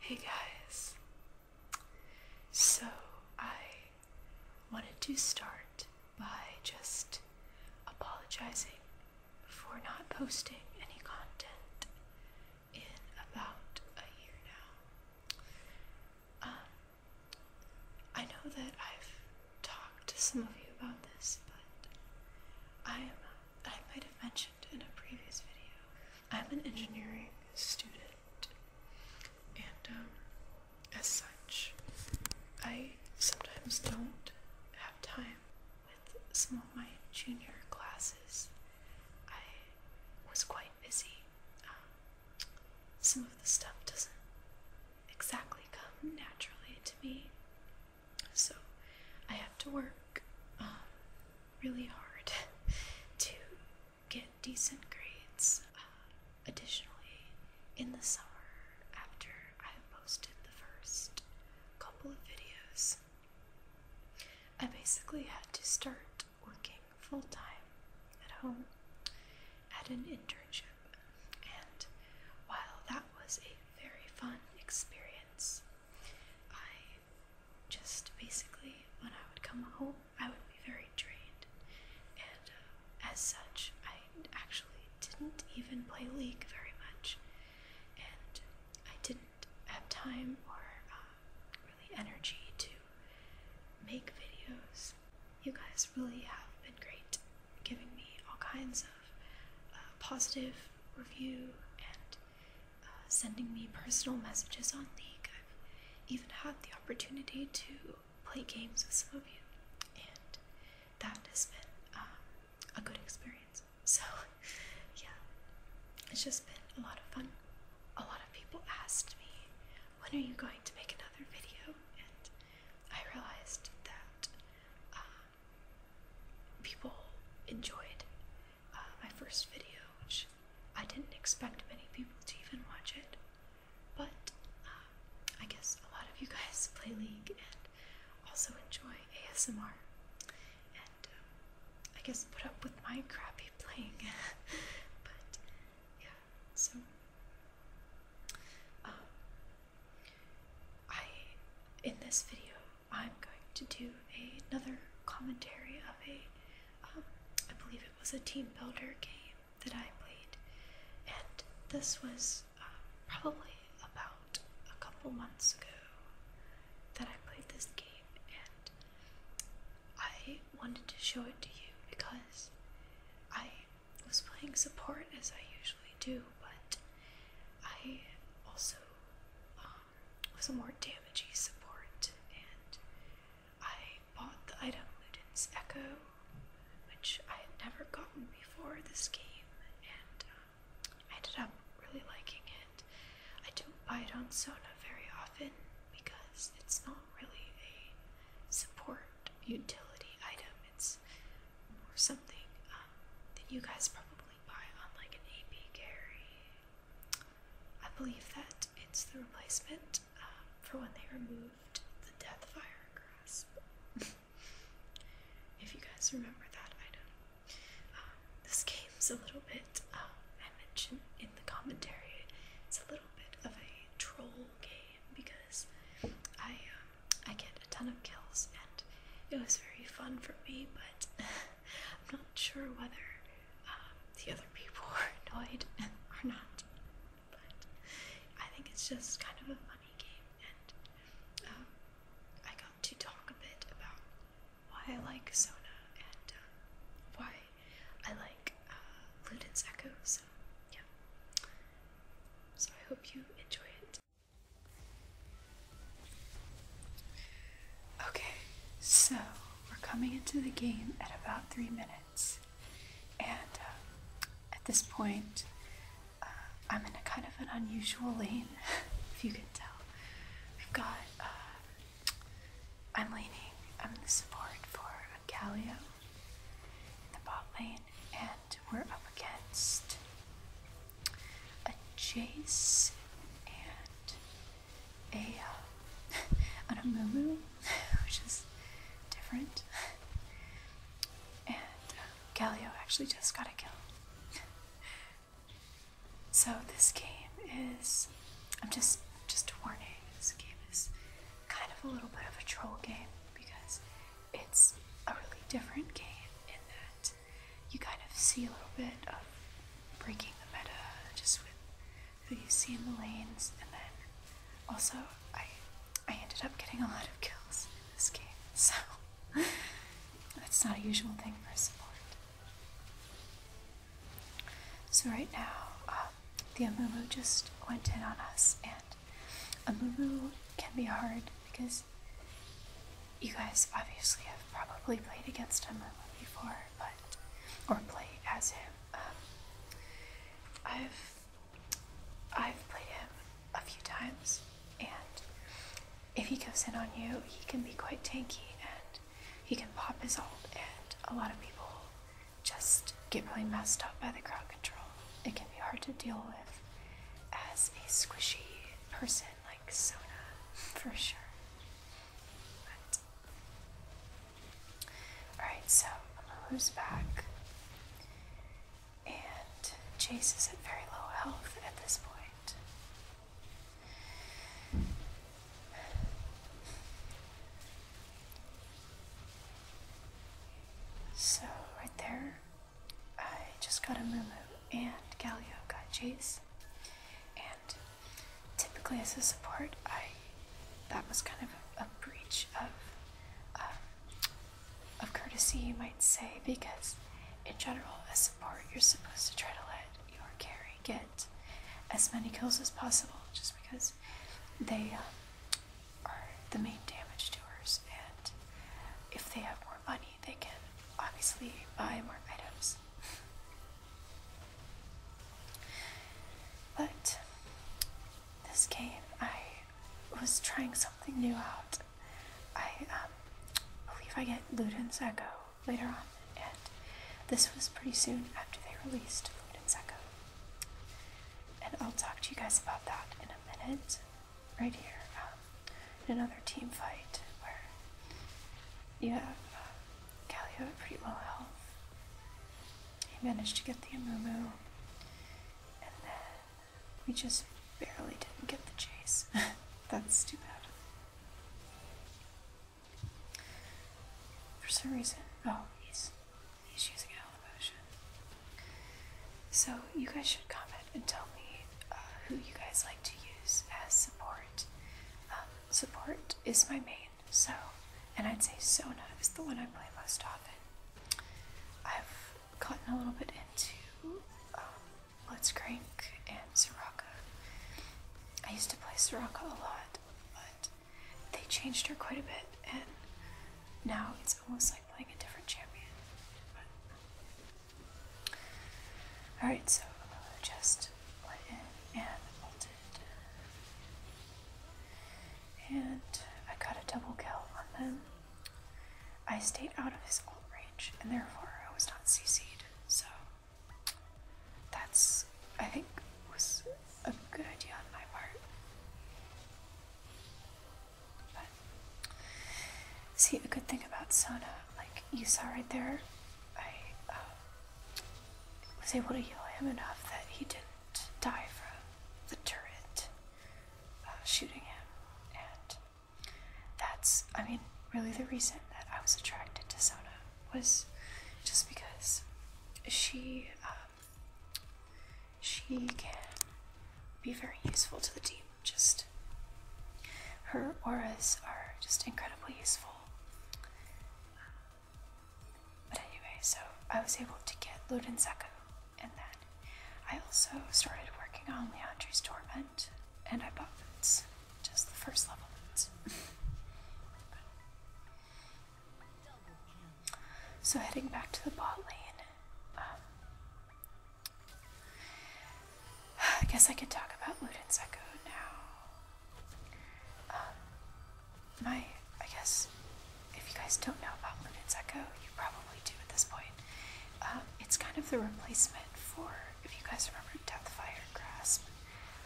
Hey guys, so I wanted to start by just apologizing for not posting any content in about a year now. Um, I know that I've talked to some of you about this, but I am I might have mentioned in a previous video, I'm an engineering student, and um, as such, I sometimes don't have time with some of my junior classes. I was quite busy. Um, some of the stuff doesn't exactly come naturally to me. So I have to work um, really hard to get decent grades. Uh, additionally, in the summer, after I posted the first couple of videos, I basically had to start working full time at home at an internship. And while that was a very fun experience. I just basically, when I would come home, I would be very drained, and uh, as such, I actually didn't even play League very much, and I didn't have time or uh, really energy to make videos. You guys really have been great, giving me all kinds of uh, positive review and uh, sending me personal messages on League. I've even had the opportunity to play games with some of you, and that has been um, a good experience. So, yeah, it's just been a lot of fun. A lot of people asked me, when are you going to make another video? And I realized that um, people enjoyed uh, my first video, which I didn't expect many people to even watch it. But uh, I guess a lot of you guys play League and also enjoy ASMR, and um, I guess put up with my crappy playing. but yeah, so. Uh, I, in this video, I'm going to do another commentary of a um, I believe it was a team builder game that I played, and this was um, probably about a couple months ago that I played this game, and I wanted to show it to you because I was playing support as I usually do, but I also um, was a more damagey support, and I bought the item Ludin's Echo, which I had never gotten before this game, and um, I ended up really liking it. I don't buy it on Sona very often because it's not really a support utility item, supplements or something um, that you guys probably buy on like an AP Gary. I believe that it's the replacement um, for when they removed the Death Fire grasp. if you guys remember that item, um, this game's a little bit. Um, I mentioned in the commentary, it's a little bit of a troll game because I I get a ton of kills, and it was very fun for me, but I'm not sure whether um, the other people were annoyed or not. But I think it's just kind of a funny game, and um, I got to talk a bit about why I like Sona and um, why I like uh, Luden's Echo. So, yeah. So, I hope you enjoy it. Okay, so we're coming into the game at about three minutes, and uh, at this point, uh, I'm in a kind of an unusual lane, if you can tell. We've got, uh, I'm leaning, I'm the support for Galio in the bot lane, and we're up against a Jace and a uh, an Amumu, which is different. And uh, Galio actually just got a kill. so this game is I'm just just warning, this game is kind of a little bit of a troll game because it's a really different game in that you kind of see a little bit of breaking the meta just with who you see in the lanes, and then also I I ended up getting a lot of kills in this game, so that's not a usual thing for a support. So right now, um, the Amumu just went in on us and a moo can be hard because you guys obviously have probably played against him before, but or play as him. Um, I've I've played him a few times, and if he goes in on you, he can be quite tanky, and he can pop his ult, and a lot of people just get really messed up by the crowd control. It can be hard to deal with as a squishy person like Sona, for sure. Alright, so Amuhu's back. And Chase is at very low health at this point. So, right there, I just got a Mumu and Galio got Jace. And typically as a support, I that was kind of a, breach of um, of courtesy, you might say, because in general, as a support, you're supposed to try to let your carry get as many kills as possible, just because they um, are the main damage doers, and if they have more money, they can obviously buy more items. But this game, I was trying something new out. I um, believe I get Luden's Echo later on, and this was pretty soon after they released Luden's Echo. And I'll talk to you guys about that in a minute right here um, in another team fight where you have uh, pretty low health. He managed to get the Amumu, and then we just barely didn't get the chase. That's too bad. For some reason, oh, he's he's using a health potion. So, you guys should comment and tell me uh, who you guys like to use as support. Um, support is my main, so, and I'd say Sona is the one I play most often. I've gotten a little bit into um, Let's Crank and Soraka. I used to play Soraka a lot, but they changed her quite a bit, and now it's. It's almost like playing a different champion. Alright, so I uh, just went in and bolted. And I got a double kill on them. I stayed out of his ult range, and therefore I was not CC'd, so that's, I think, was a good idea on my part see, a good thing about Sona, like you saw right there, I um, was able to heal him enough that he didn't die from the turret uh, shooting him, and that's, I mean, really the reason that I was attracted to Sona was just because she. Um, she can be very useful to the team. Just her auras are just incredibly useful. But anyway, so I was able to get Luden Seko, and then I also started working on Leandre's Torment, and I bought just the first level boots. so heading back to the bot lane, um, I guess I can talk about Luden Echo now. Um, my, I guess, if you guys don't know about Luden Echo, you probably do at this point. Um, it's kind of the replacement for, if you guys remember Deathfire Grasp,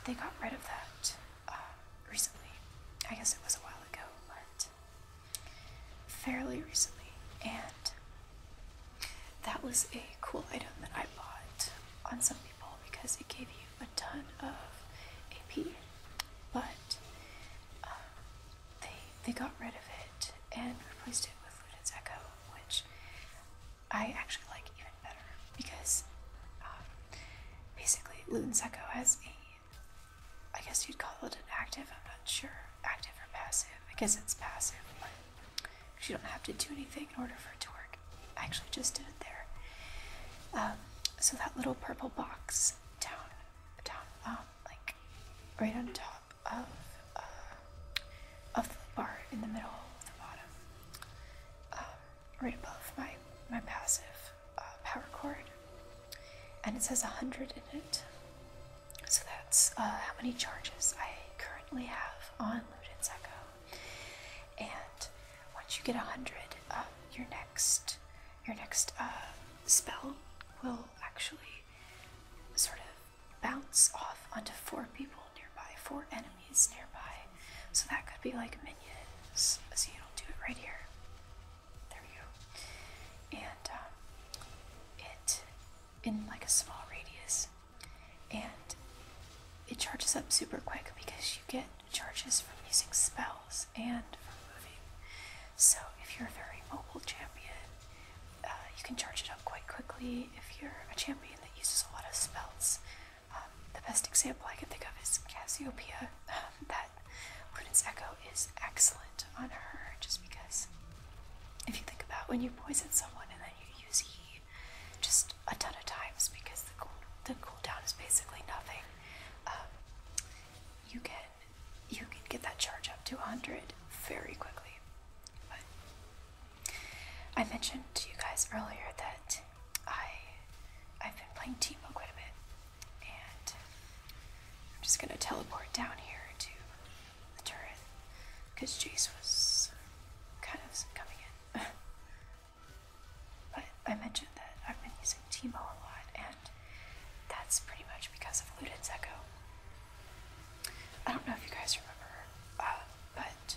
they got rid of that uh, recently. I guess it was a while ago, but fairly recently, and that was a cool item that I bought on some people because it gave you a ton of AP, but um, they they got rid of it and replaced it with Ludens Echo, which I actually like even better because um, basically Ludens Echo has a I guess you'd call it an active, I'm not sure. Active or passive. I guess it's passive, but you don't have to do anything in order for it to work. I actually just did it there. Um, so that little purple box down, down, um, like right on top of uh, of the bar in the middle of the bottom, um, right above my my passive uh, power cord and it says 100 in it. So that's uh, how many charges I currently have on Luden Secco. And once you get 100, um, your next your next uh, spell will actually sort of bounce off onto four people nearby, four enemies nearby. So that could be like minions. So you don't do it right here. There you And um, it in like a small radius, and it charges up super quick because you get charges from using spells and moving. So if you're a very mobile champion, uh, you can charge it up quite quickly. If you're a champion that uses a lot of spells, um, the best example I can think of is Cassiopeia. um, that Prudence Echo is excellent on her just because if you think about when you poison someone and then you use Heat just a ton of times because the cool, the cooldown is basically nothing, um, you can you can get that charge up to 100 very quickly. But I mentioned to you guys earlier that I I've been playing Teemo quite a bit, I'm just gonna teleport down here to the turret because Jace was kind of coming in. but I mentioned that I've been using Teemo a lot, and that's pretty much because of Ludo's Echo. I don't know if you guys remember, uh, but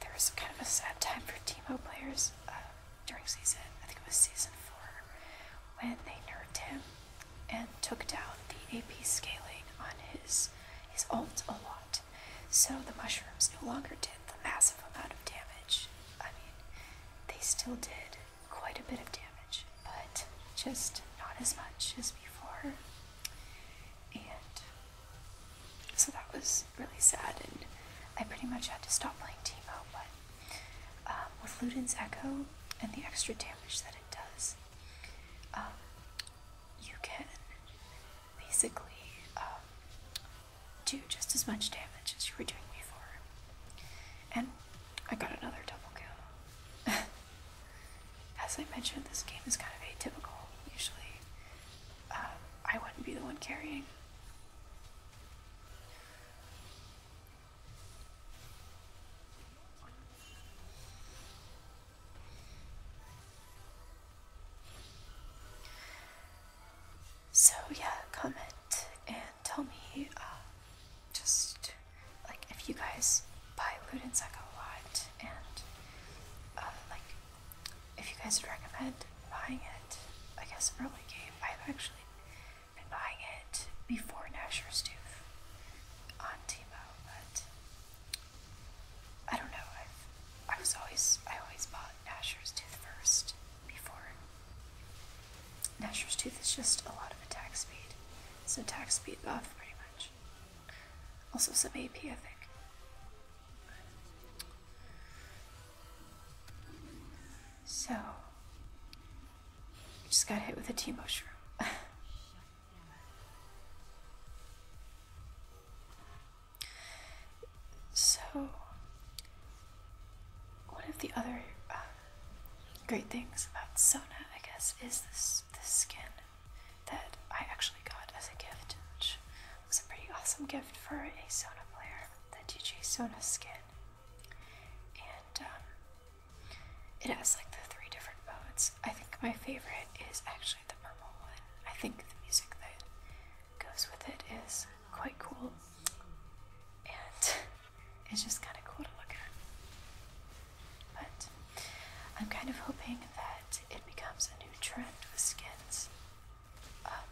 there was kind of a sad time for Teemo players uh, during season, I think it was season 4, when they nerfed him and took down the AP scaling on his his ult a lot. So the mushrooms no longer did the massive amount of damage. I mean, they still did quite a bit of damage, but just not as much as before. And so that was really sad, and I pretty much had to stop playing Teemo, but um, with Ludin's Echo and the extra damage that it does, um, you can basically um, do just as much damage as you were doing before. And I got another double kill. as I mentioned, this game is kind of atypical. Usually, I wouldn't be the one carrying. So yeah, comment and tell me uh, just like if you guys buy Ludensack a lot, and uh, like if you guys would recommend buying it. I guess early game. I've actually and buying it before Nasher's Tooth on Timo, but I don't know. I've, I was always I always bought Nasher's Tooth first before. Nasher's Tooth is just a lot of attack speed, so attack speed buff pretty much. Also some AP, I think. So just got hit with a tea mushroom. so, one of the other uh, great things about Sona, I guess, is this this skin that I actually got as a gift, which was a pretty awesome gift for a Sona player. The DJ Sona skin and um, it has like the three different modes. I think my favorite is actually the purple one. I think the music that goes with it is quite cool, and it's just kind of cool to look at. But I'm kind of hoping that it becomes a new trend with skins. Um,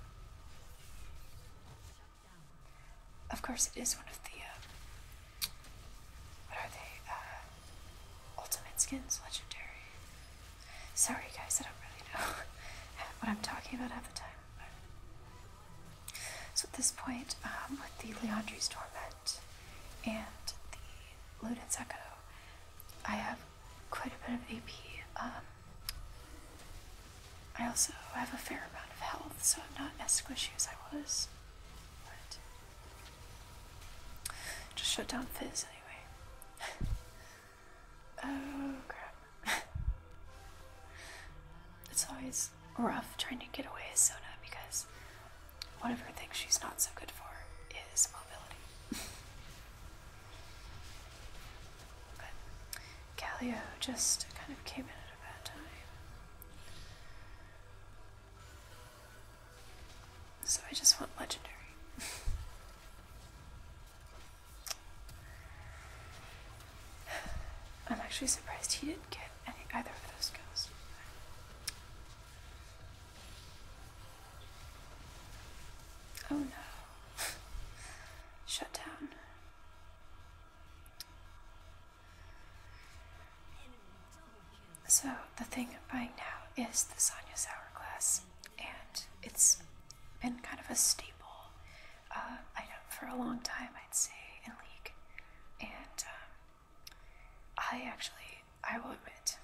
of course, it is one of the, uh, what are they, uh, Ultimate Skins, Legendary. Sorry guys, I don't really know what I'm talking about half the time. So at this point, um, with the Leandri's Torment and the Luden Echo, I have quite a bit of AP, um, I also have a fair amount of health, so I'm not as squishy as I was. just shut down Fizz anyway. oh crap. it's always rough trying to get away as Sona because one of her things she's not so good for is mobility. Callio just kind of came in at a bad time. So I just want legendary. I'm actually surprised he didn't get any either of those skills. Oh no. Shut down. So, the thing I'm buying now is the Sonya's Hourglass, and it's been kind of a staple uh, item for a long time, I'd say, in League. And um, I actually, I will admit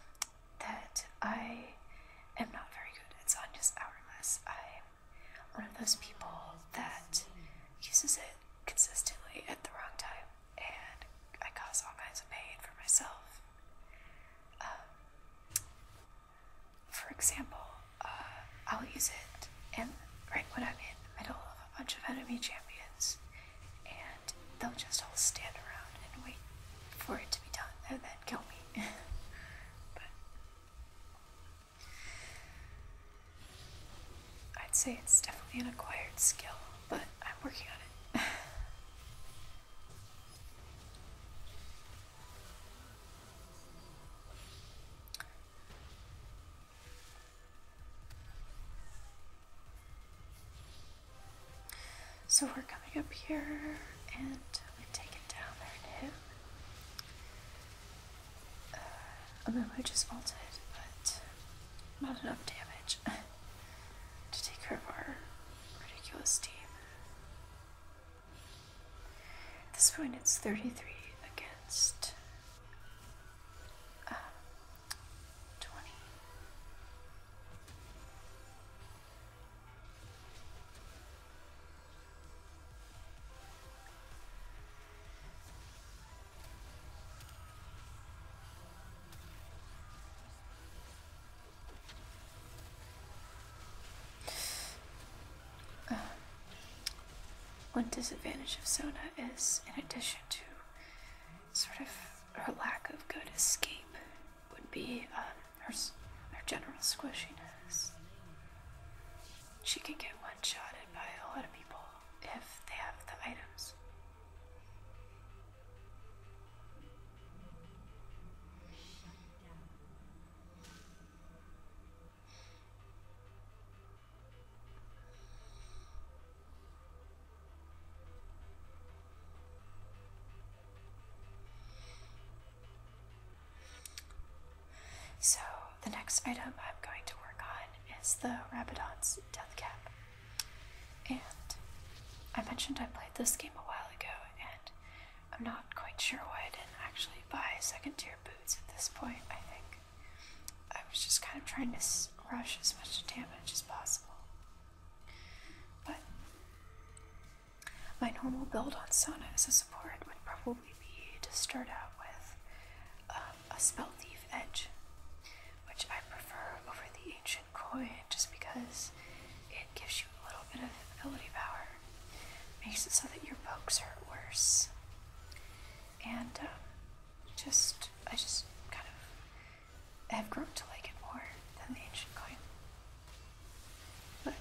that I am not very good at Sonya's Hourglass. I one of those people that uses it consistently at the wrong time, and I cause all kinds of pain for myself. Um, for example, uh, I'll use it, and right when I'm in the middle of a bunch of enemy champions, and they'll just all stand around and wait for it to be done, and then kill me. I'd say it's definitely an acquired skill, but I'm working on it. So we're coming up here and we take it down there to uh, a oh memo just vaulted, but not enough damage to take care of our ridiculous team. At this point, it's 33 against uh, 20. Uh, one disadvantage of Sona is, in addition to sort of her lack of good escape, would be um, her, her general squishiness. She can get one shotted by a lot of people if they have the items. So, the next item I'm going to work on is the Rabadon's Death Cap. And I mentioned I played this game a while ago, and I'm not quite sure why I didn't actually buy second tier boots at this point, I think. I was just kind of trying to rush as much damage as possible. But my normal build on Sona is a support with probably to start out with um, a spell thief edge, which I prefer over the ancient coin just because it gives you a little bit of ability power, makes it so that your pokes hurt worse, and um, just I just kind of have grown to like it more than the ancient coin. But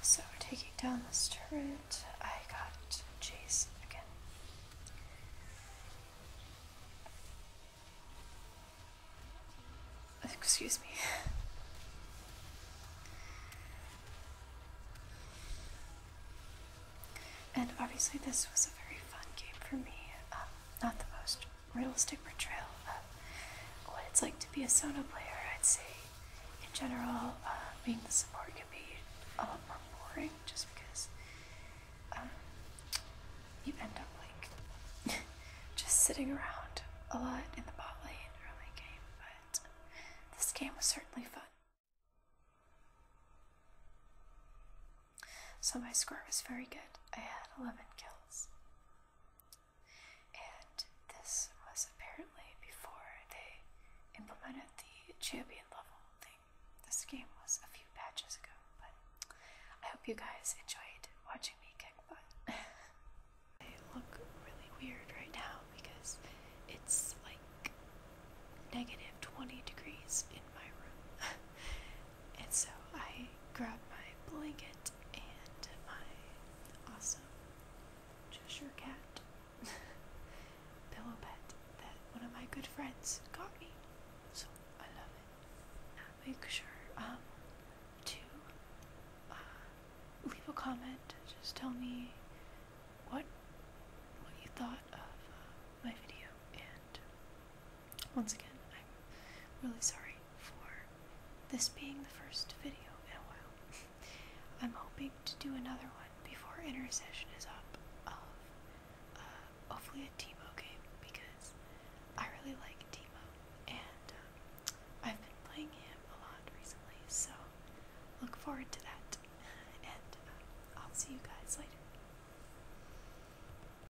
so we're taking down this turret. I got Jace again. Excuse me. And obviously, this was a very fun game for me. Um, not the most realistic portrayal of what it's like to be a solo player. I'd say, in general, uh, being the support can be a lot more boring just because um, you end up like just sitting around a lot in the bot lane early game. But this game was certainly fun. So my score was very good. I had 11 kills. And this was apparently before they implemented the champion level thing. This game was a few patches ago, but I hope you guys enjoyed watching me kick butt. I look really weird right now because it's like negative 20 degrees in my room. And so I grabbed my blanket and my awesome Cheshire cat pillow pet that one of my good friends got me. So I love it. Now make sure um, to uh, leave a comment. Just tell me what what you thought of uh, my video and once again, I'm really sorry for this being the first video in a while. I'm hoping to do another one before intercession is up of uh, hopefully a Teemo game because I really like Teemo and uh, I've been playing him a lot recently, so look forward to that. And uh, I'll see you guys later.